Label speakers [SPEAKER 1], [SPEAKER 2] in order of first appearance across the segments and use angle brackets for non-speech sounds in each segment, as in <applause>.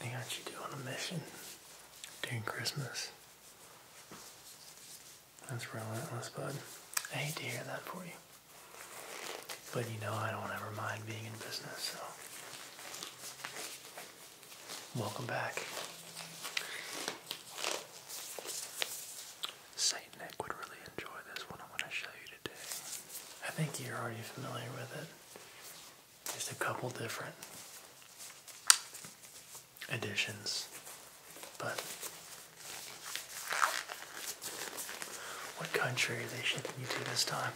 [SPEAKER 1] Hey, are you doing a mission during Christmas? That's relentless, bud. I hate to hear that for you. But you know I don't ever mind being in business, so welcome back. Saint Nick would really enjoy this one I'm to show you today. I think you're already familiar with it just a couple different editions. But what country are they shipping you to this time?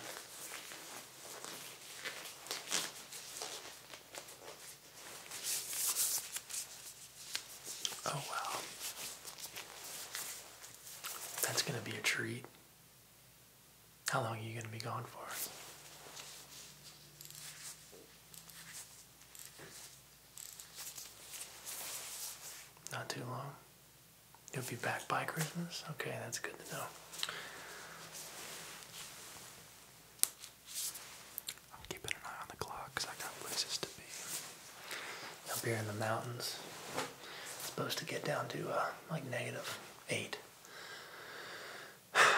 [SPEAKER 1] Oh wow. That's going to be a treat. How long are you going to be gone for? Not too long. You'll be back by Christmas? Okay, that's good to know. I'm keeping an eye on the clock because I got places to be. Up here in the mountains, it's supposed to get down to uh, like negative 8.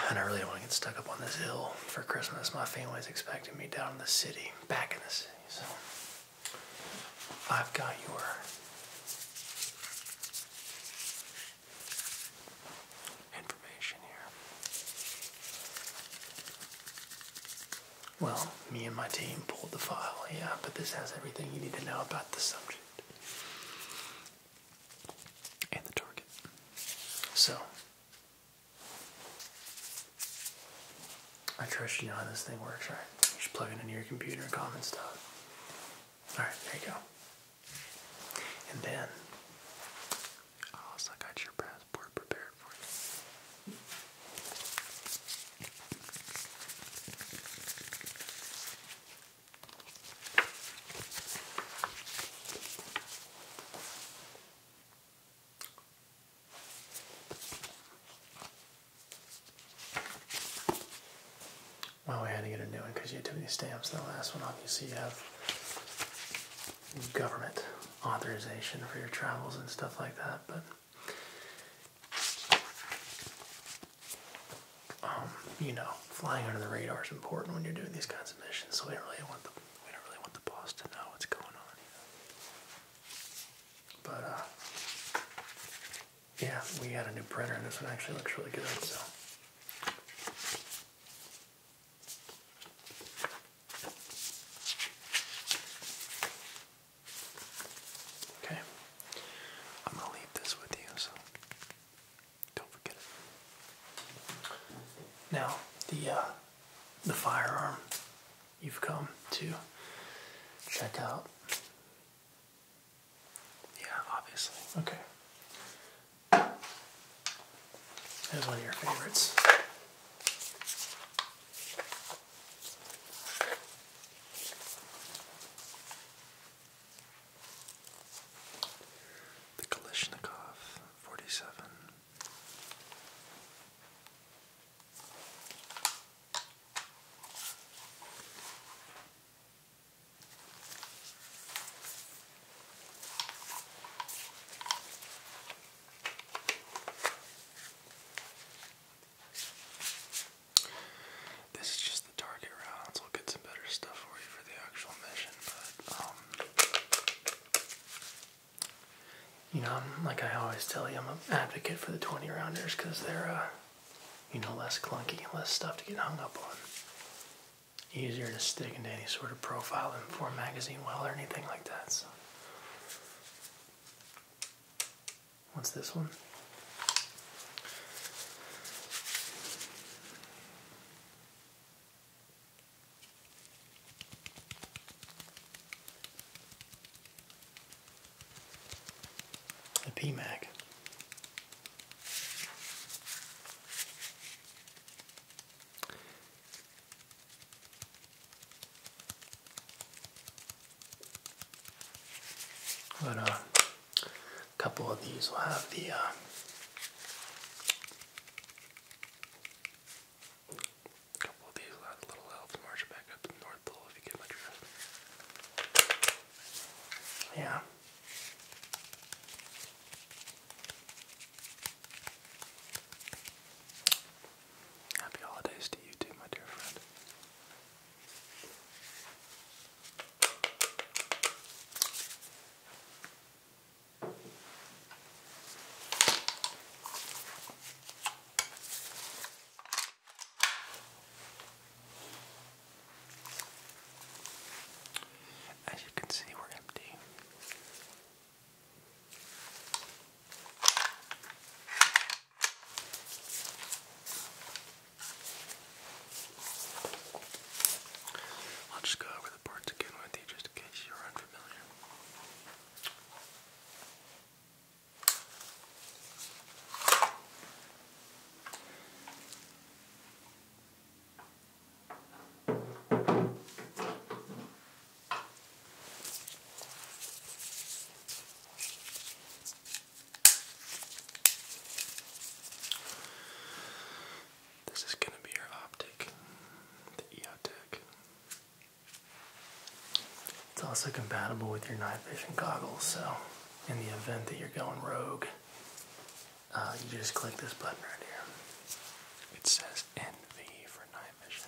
[SPEAKER 1] And I really don't want to get stuck up on this hill for Christmas. My family is expecting me down in the city, back in the city. So I've got your information here. Well, me and my team pulled the file, yeah, but this has everything you need to know about the subject and the target. So, I trust you know how this thing works, right? You should plug it into your computer and comment stuff. Alright, there you go. And then, I also got your passport prepared for you. Well, we had to get a new one because you had too many stamps. The last one, obviously, you have government authorization for your travels and stuff like that, but um, you know, flying under the radar is important when you're doing these kinds of missions. So we don't really want the we don't really want the boss to know what's going on. But uh, yeah, we got a new printer, and this one actually looks really good. So. Okay, I'm gonna leave this with you, so don't forget it. Now the uh, the firearm you've come to check out. Yeah, obviously. Okay. That's one of your favorites. The Kalishnikov 47. This is just the target rounds. We'll get some better stuff for you for the actual mission, but um, you know, like I always tell you, I'm an advocate for the 20 rounders because they're, uh, you know, less clunky less stuff to get hung up on. Easier to stick into any sort of profile than for magazine well or anything like that. What's this one? The PMAC. But uh, a couple of these will have the uh, couple of these will have little elves march back up the North Pole if you get my drift. Yeah. Happy holidays to you too, my dear friend. As you can see, we're empty. I'll just go over the parts again with you just in case you're unfamiliar. Okay. This is going to be your optic, the EOTech. It's also compatible with your night vision goggles, so in the event that you're going rogue, uh, you just click this button right here. It says NV for night vision.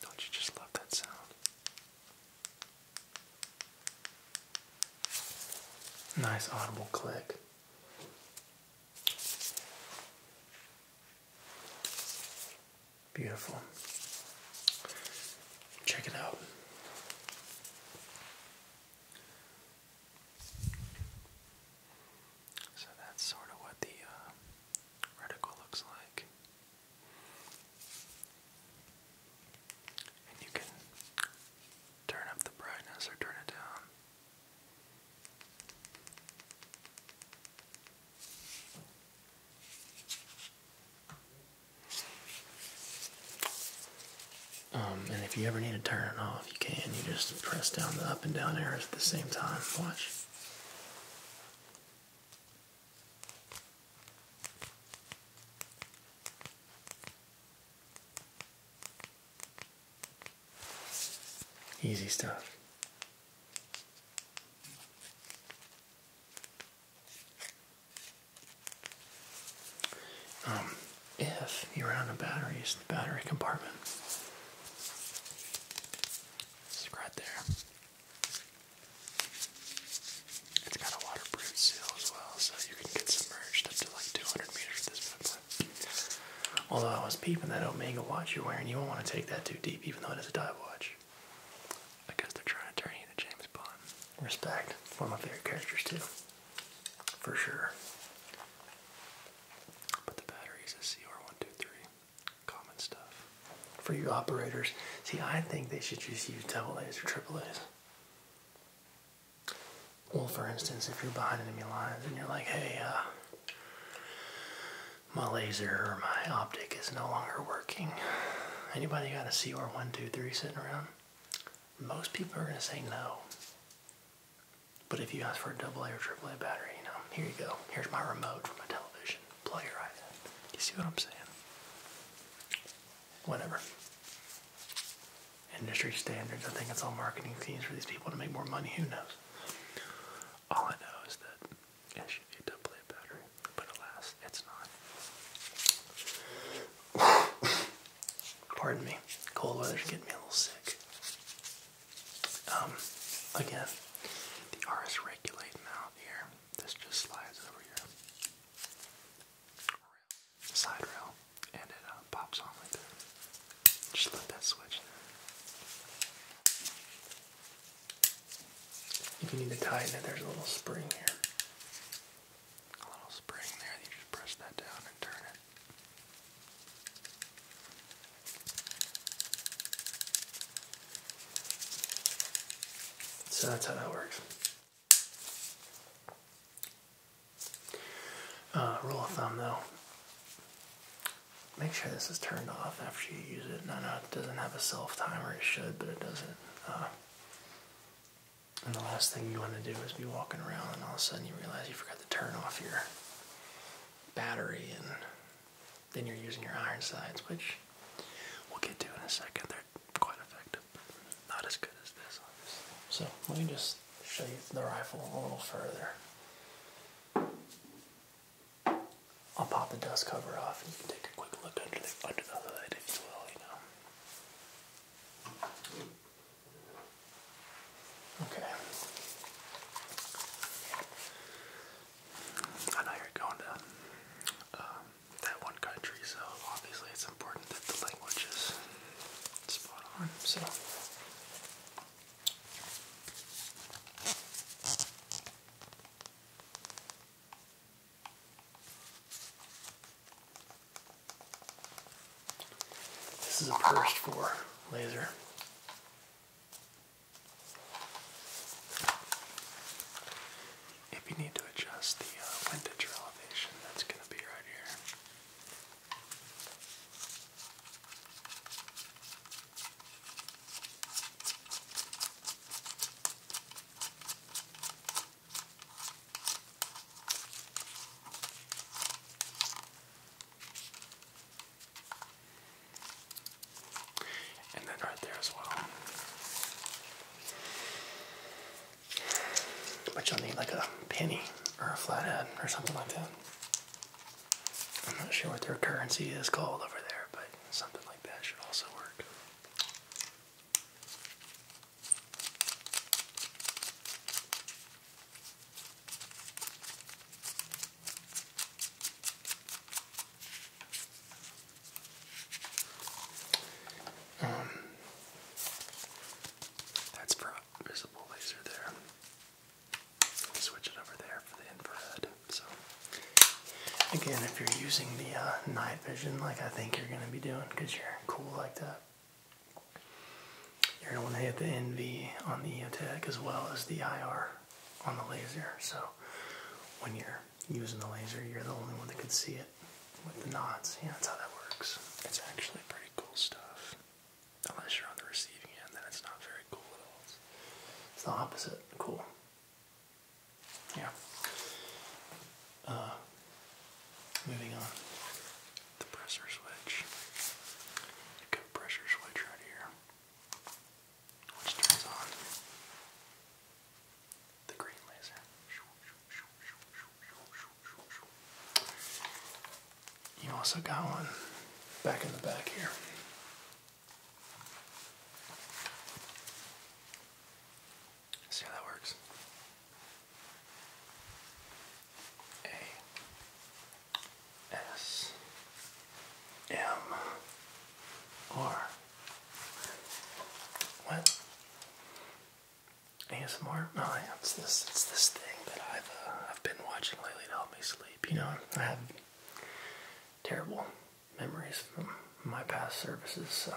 [SPEAKER 1] Don't you just love that sound? Nice audible click. Beautiful. Check it out. So that's sort of what the uh, radical looks like. And you can turn up the brightness or turn it down. Um, and if you ever need to turn it off, you can. You just press down the up and down arrows at the same time. Watch. Easy stuff. Um, if you are out of batteries, the battery compartment right there. It's got a waterproof seal as well, so you can get submerged up to like 200 meters at this point. Although I was peeping that Omega watch you're wearing, you won't want to take that too deep, even though it is a dive watch. I guess they're trying to turn you into James Bond respect. One of my favorite characters too, for sure. But the batteries is CR123, common stuff. For you operators, see, I think they should just use double A's or triple A's. Well, for instance, if you're behind enemy lines and you're like, hey, uh, my laser or my optic is no longer working. Anybody got a CR123 sitting around? most people are going to say no. But if you ask for a double or AAA battery, you know, here you go. Here's my remote for my television. Plug it right in. You see what I'm saying? Whatever. Industry standards. I think it's all marketing schemes for these people to make more money. Who knows? All I know is that it should be a double A battery, but alas, it's not. <sighs> Pardon me. Cold weather's getting me a little sick. Um, again, the RS regulate mount here. This just slides over here. side rail, and it uh, pops on like that. Just let that switch. If you need to tighten it, there's a little spring here a little spring there. You just press that down and turn it. So that's how that works. Uh, rule of thumb though, make sure this is turned off after you use it. I know it doesn't have a self timer, it should, but it doesn't. Uh, and the last thing you want to do is be walking around and all of a sudden you realize you forgot to turn off your battery and then you're using your iron sights, which we'll get to in a second. They're quite effective, not as good as this, obviously. So let me just show you the rifle a little further. I'll pop the dust cover off and you can take a quick look under the, under the hood, if you will, you know. Okay. I know you're going to um, that one country, so obviously it's important that the language is spot on. So. This is a first for laser. If you need to adjust the windage uh, elevation, that's going to be right here. And then right there as well. But you'll need like a penny or a flathead or something like that. I'm not sure what their currency is called over there, but something like that should also work. Um, that's for visible laser there. Switch it over there for the infrared. So Again, if you're using the uh, night vision like I think you're going to be doing because you're cool like that, you're going to want to hit the NV on the EOTech as well as the IR on the laser. So when you're using the laser, you're the only one that can see it with the knots. Yeah, that's how that works. It's actually pretty cool stuff. Unless you're on the receiving end, then it's not very cool at all. It's the opposite. Cool. Yeah. Uh, moving on. The pressure switch. You've pressure switch right here. Which turns on the green laser. You also got one back in the back here see how that works. A S M R. What? ASMR? No, it's this it's this thing that I've uh, I've been watching lately to help me sleep. You know, I have terrible memories from my past services, so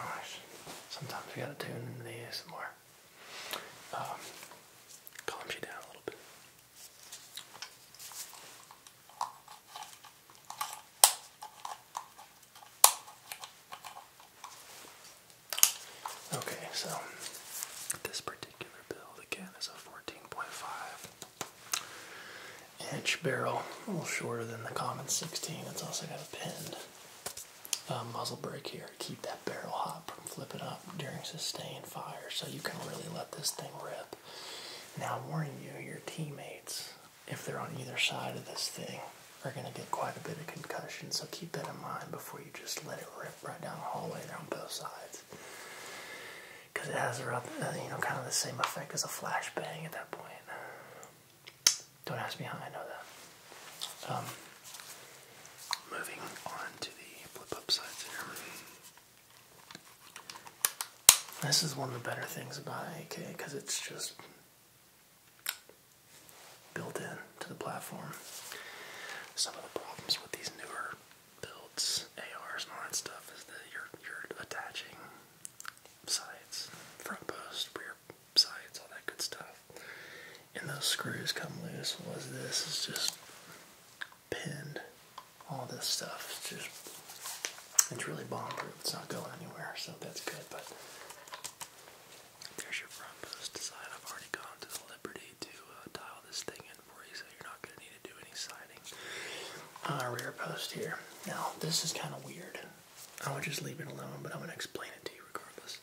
[SPEAKER 1] sometimes we gotta tune in the ASMR. Um, you down a little bit. Okay, so this particular build again is a 14.5 inch barrel, a little shorter than the common 16. It's also got a pinned um, muzzle brake here to keep that barrel hot from flipping up during sustained fire, so you can really let this thing rip. Now, I'm warning you, your teammates, if they're on either side of this thing, are going to get quite a bit of concussion, so keep that in mind before you just let it rip right down the hallway there on both sides. Because it has, a uh, you know, kind of the same effect as a flashbang at that point. Don't ask me how I know that. Um, moving on to the flip up sides here. This is one of the better things about AK because it's just built in to the platform. Some of the problems with these newer builds, ARs and all that stuff, is that you're you're attaching sides, front post, rear sides, all that good stuff. And those screws come loose. Was this is just pinned. All this stuff it's just it's really bomb-proof. It's not going anywhere, so that's good. But there's your front post side. I've already gone to the Liberty to dial uh, this thing in for you, so you're not going to need to do any siding. Uh, rear post here. Now this is kind of weird. I would just leave it alone, but I'm going to explain it to you regardless.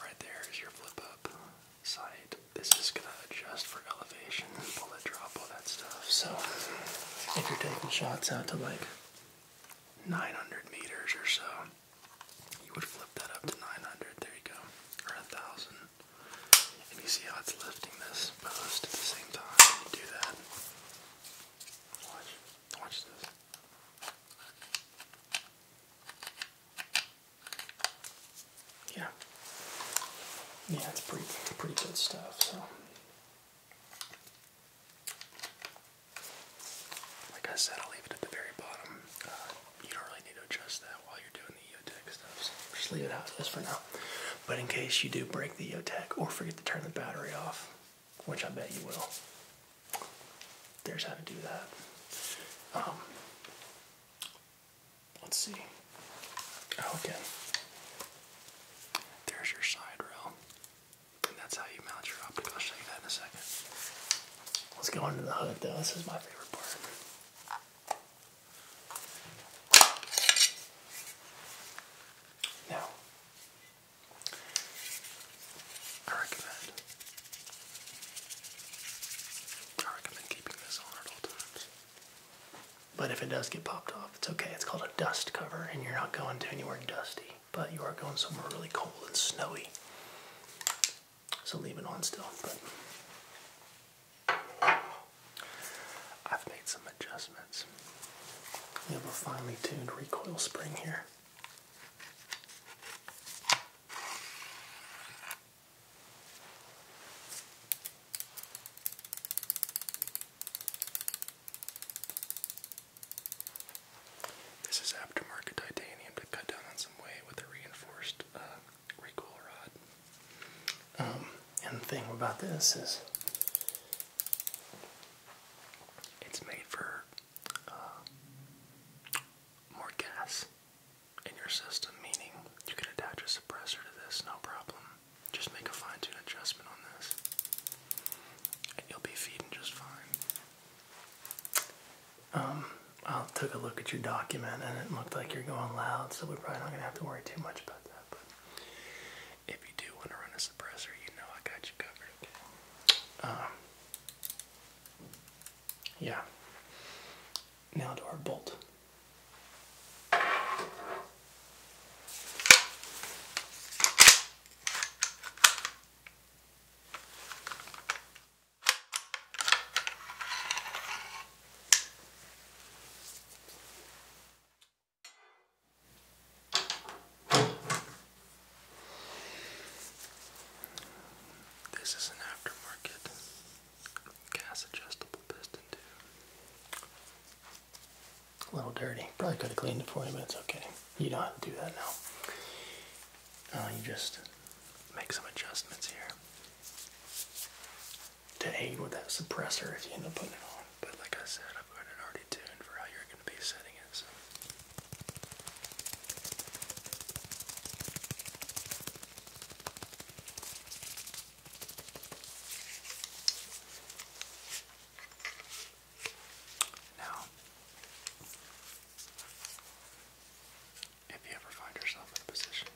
[SPEAKER 1] Right there is your flip up sight. This is going to adjust for elevation, bullet drop, all that stuff. So if you're taking shots out to like 900 meters or so, you would flip that up to 900. There you go. Or a 1,000. And you see how it's lifting this post at the same time. do that. Watch. Watch this. Yeah. Yeah, it's pretty pretty good stuff, so like I said, I'll leave it at the very bottom. Uh, you don't really need to adjust that while you're doing the EOTech stuff, just leave it out just for now. But in case you do break the Yotech or forget to turn the battery off, which I bet you will, there's how to do that. Um, let's see. Oh, again, there's your side rail. And that's how you mount your optic. I'll show you that in a second. Let's go into the hood though. This is my favorite part. Now, I recommend I recommend keeping this on at all times. But if it does get popped off, it's okay. It's called a dust cover, and you're not going to anywhere dusty, but you are going somewhere really cold and snowy. So leave it on still. I've made some adjustments. We have a finely tuned recoil spring here. This is aftermarket titanium to cut down on some weight with a reinforced uh, recoil rod. Um, and the thing about this is it's made for uh, more gas in your system, meaning you can attach a suppressor to this, no problem. Just make a fine tune adjustment on this, and you'll be feeding just fine. Um, I took a look at your document and it looked like you're going loud, so we're probably not going to have to worry too much about that if you do want to run a suppressor, you know I got you covered, um, yeah. Now to our bolt. This is an aftermarket gas adjustable piston tube. A little dirty. Probably could have cleaned it for you, but it's okay. You don't have to do that now. Uh, you just make some adjustments here to aid with that suppressor if you end up putting it on. But like I said, I've got it already tuned for how you're going to be setting it. So. Now, if you ever find yourself in position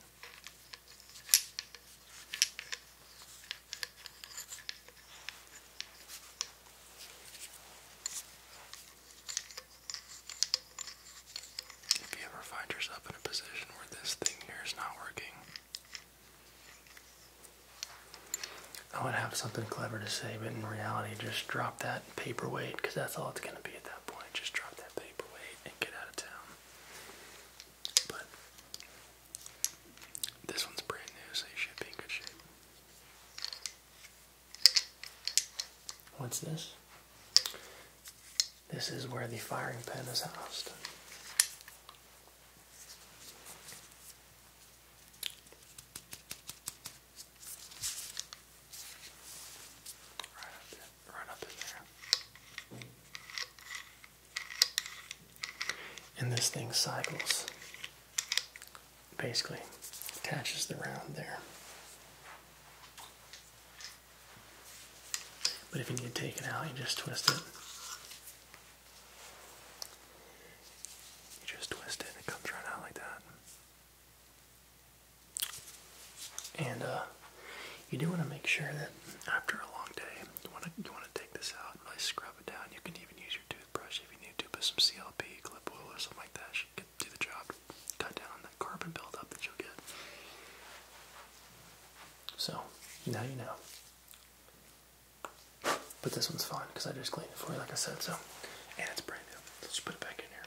[SPEAKER 1] if you ever find yourself in a position where this thing here is not working, I would have something clever to say, but in reality, just drop that paperweight because that's all it's going to be at that point. Just drop that paperweight and get out of town. But this one's brand new, so you should be in good shape. What's this? This is where the firing pin is housed. Right up, there, right up in there. And this thing cycles, basically attaches the round there. But if you need to take it out, you just twist it. You just twist it and it comes right out like that. And uh, you do want to make sure that after a long day, you want to you want to take this out and really scrub it down. You can even use your toothbrush if you need to, put some CLP, clip oil, or something like that. Should do the job. Cut down on that carbon buildup that you'll get. So now you know. But this one's fine because I just cleaned it for you, like I said. So, and it's brand new. Let's just put it back in here.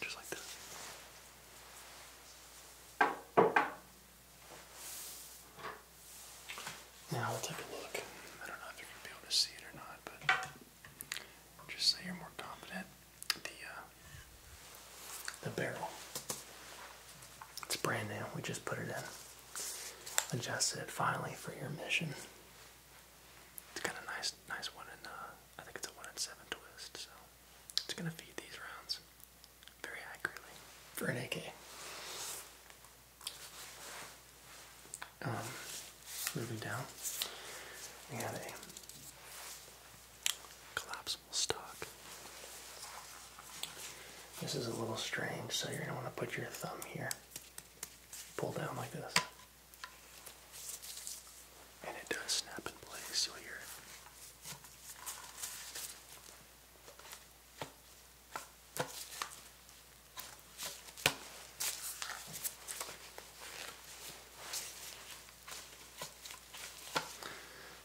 [SPEAKER 1] Just like that. Now we'll take a look. I don't know if you can be able to see it or not, but just so you're more confident, the uh, the barrel. It's brand new. We just put it in adjusted finally for your mission. It's got a nice, nice one and Uh, I think it's a one in seven twist, so it's gonna feed these rounds very accurately for an AK. Um, moving down, we have a collapsible stock this is a little strange, so you're going to want to put your thumb here. Pull down like this. And it does snap in place, you'll hear it.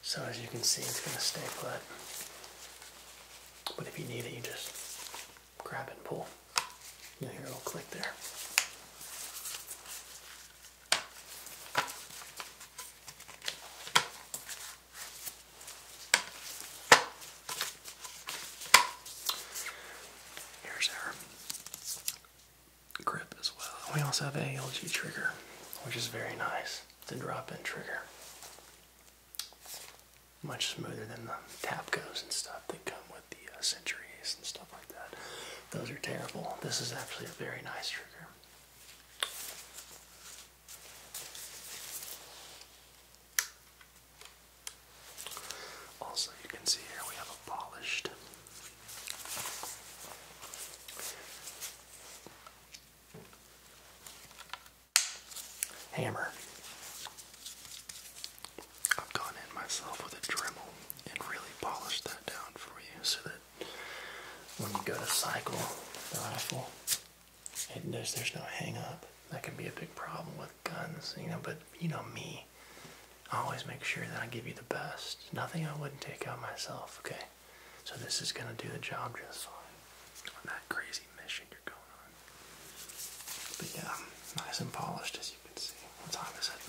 [SPEAKER 1] So as you can see, it's going to stay put. But if you need it, you just grab and pull. Now here it'll click there. Here's our grip as well. We also have a LG trigger, which is very nice. It's a drop-in trigger much smoother than the Tapcos and stuff that come with the uh, Centuries and stuff like that. Those are terrible. This is actually a very nice trigger. Also, you can see here we have a polished hammer. I've gone in myself with a Dremel and really polished that down for you so that when you go to cycle the rifle, it, there's, there's no hang up. That can be a big problem with guns, you know, but you know me. I always make sure that I give you the best. Nothing I wouldn't take out myself, okay? So this is gonna do the job just fine on that crazy but yeah, nice and polished as you can see. What time is it?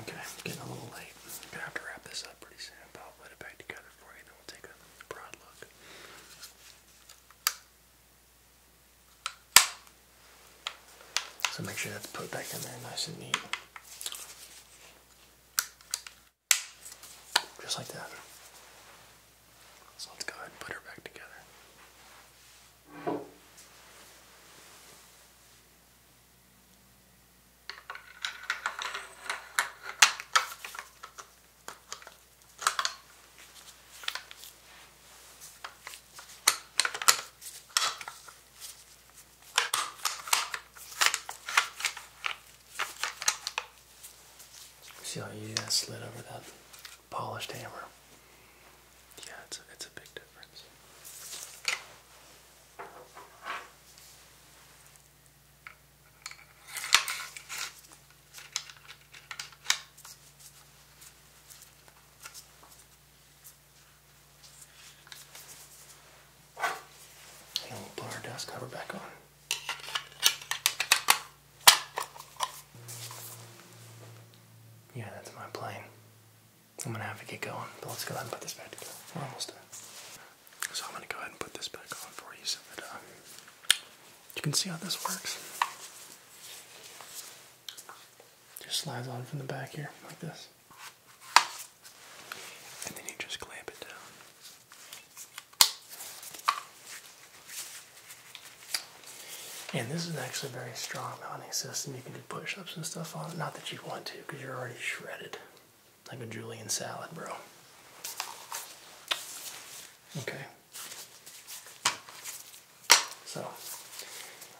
[SPEAKER 1] Okay, getting a little late. gonna have to wrap this up pretty soon, but put it back together for you, then we'll take a broad look. So make sure that's put back in there nice and neat. Just like that. So let's go ahead and put her back together. See how easy that slid over that polished hammer? Yeah, it's a, it's a big difference. And we put our dust cover back on. Yeah, that's my plane. I'm gonna have to get going, but let's go ahead and put this back together. We're almost done. So I'm gonna go ahead and put this back on for you so that uh, you can see how this works. Just slides on from the back here, like this. And then you just clamp it down. And this is actually a very strong mounting system. You can do push-ups and stuff on it. Not that you want to, because you're already shredded. Like a Julian salad, bro. Okay. So,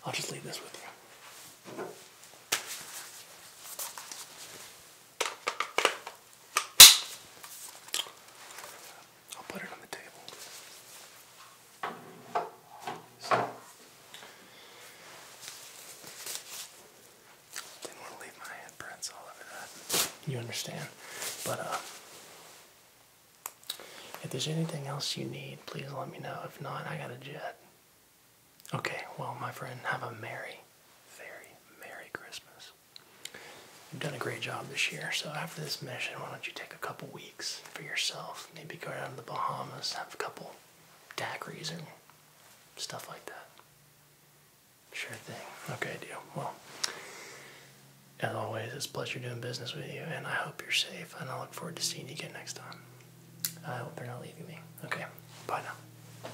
[SPEAKER 1] I'll just leave this with you. I'll put it on the table. didn't want to leave my handprints all over that. You understand. But uh if there's anything else you need, please let me know. If not, I got a jet. Okay, well, my friend, have a merry very Merry Christmas. You've done a great job this year, so after this mission, why don't you take a couple weeks for yourself? Maybe go down to the Bahamas, have a couple daiquiris and stuff like that. Sure thing. Okay, deal. Well, as always, it's a pleasure doing business with you, and I hope you're safe, and I look forward to seeing you again next time. I hope they're not leaving me. Okay, bye now.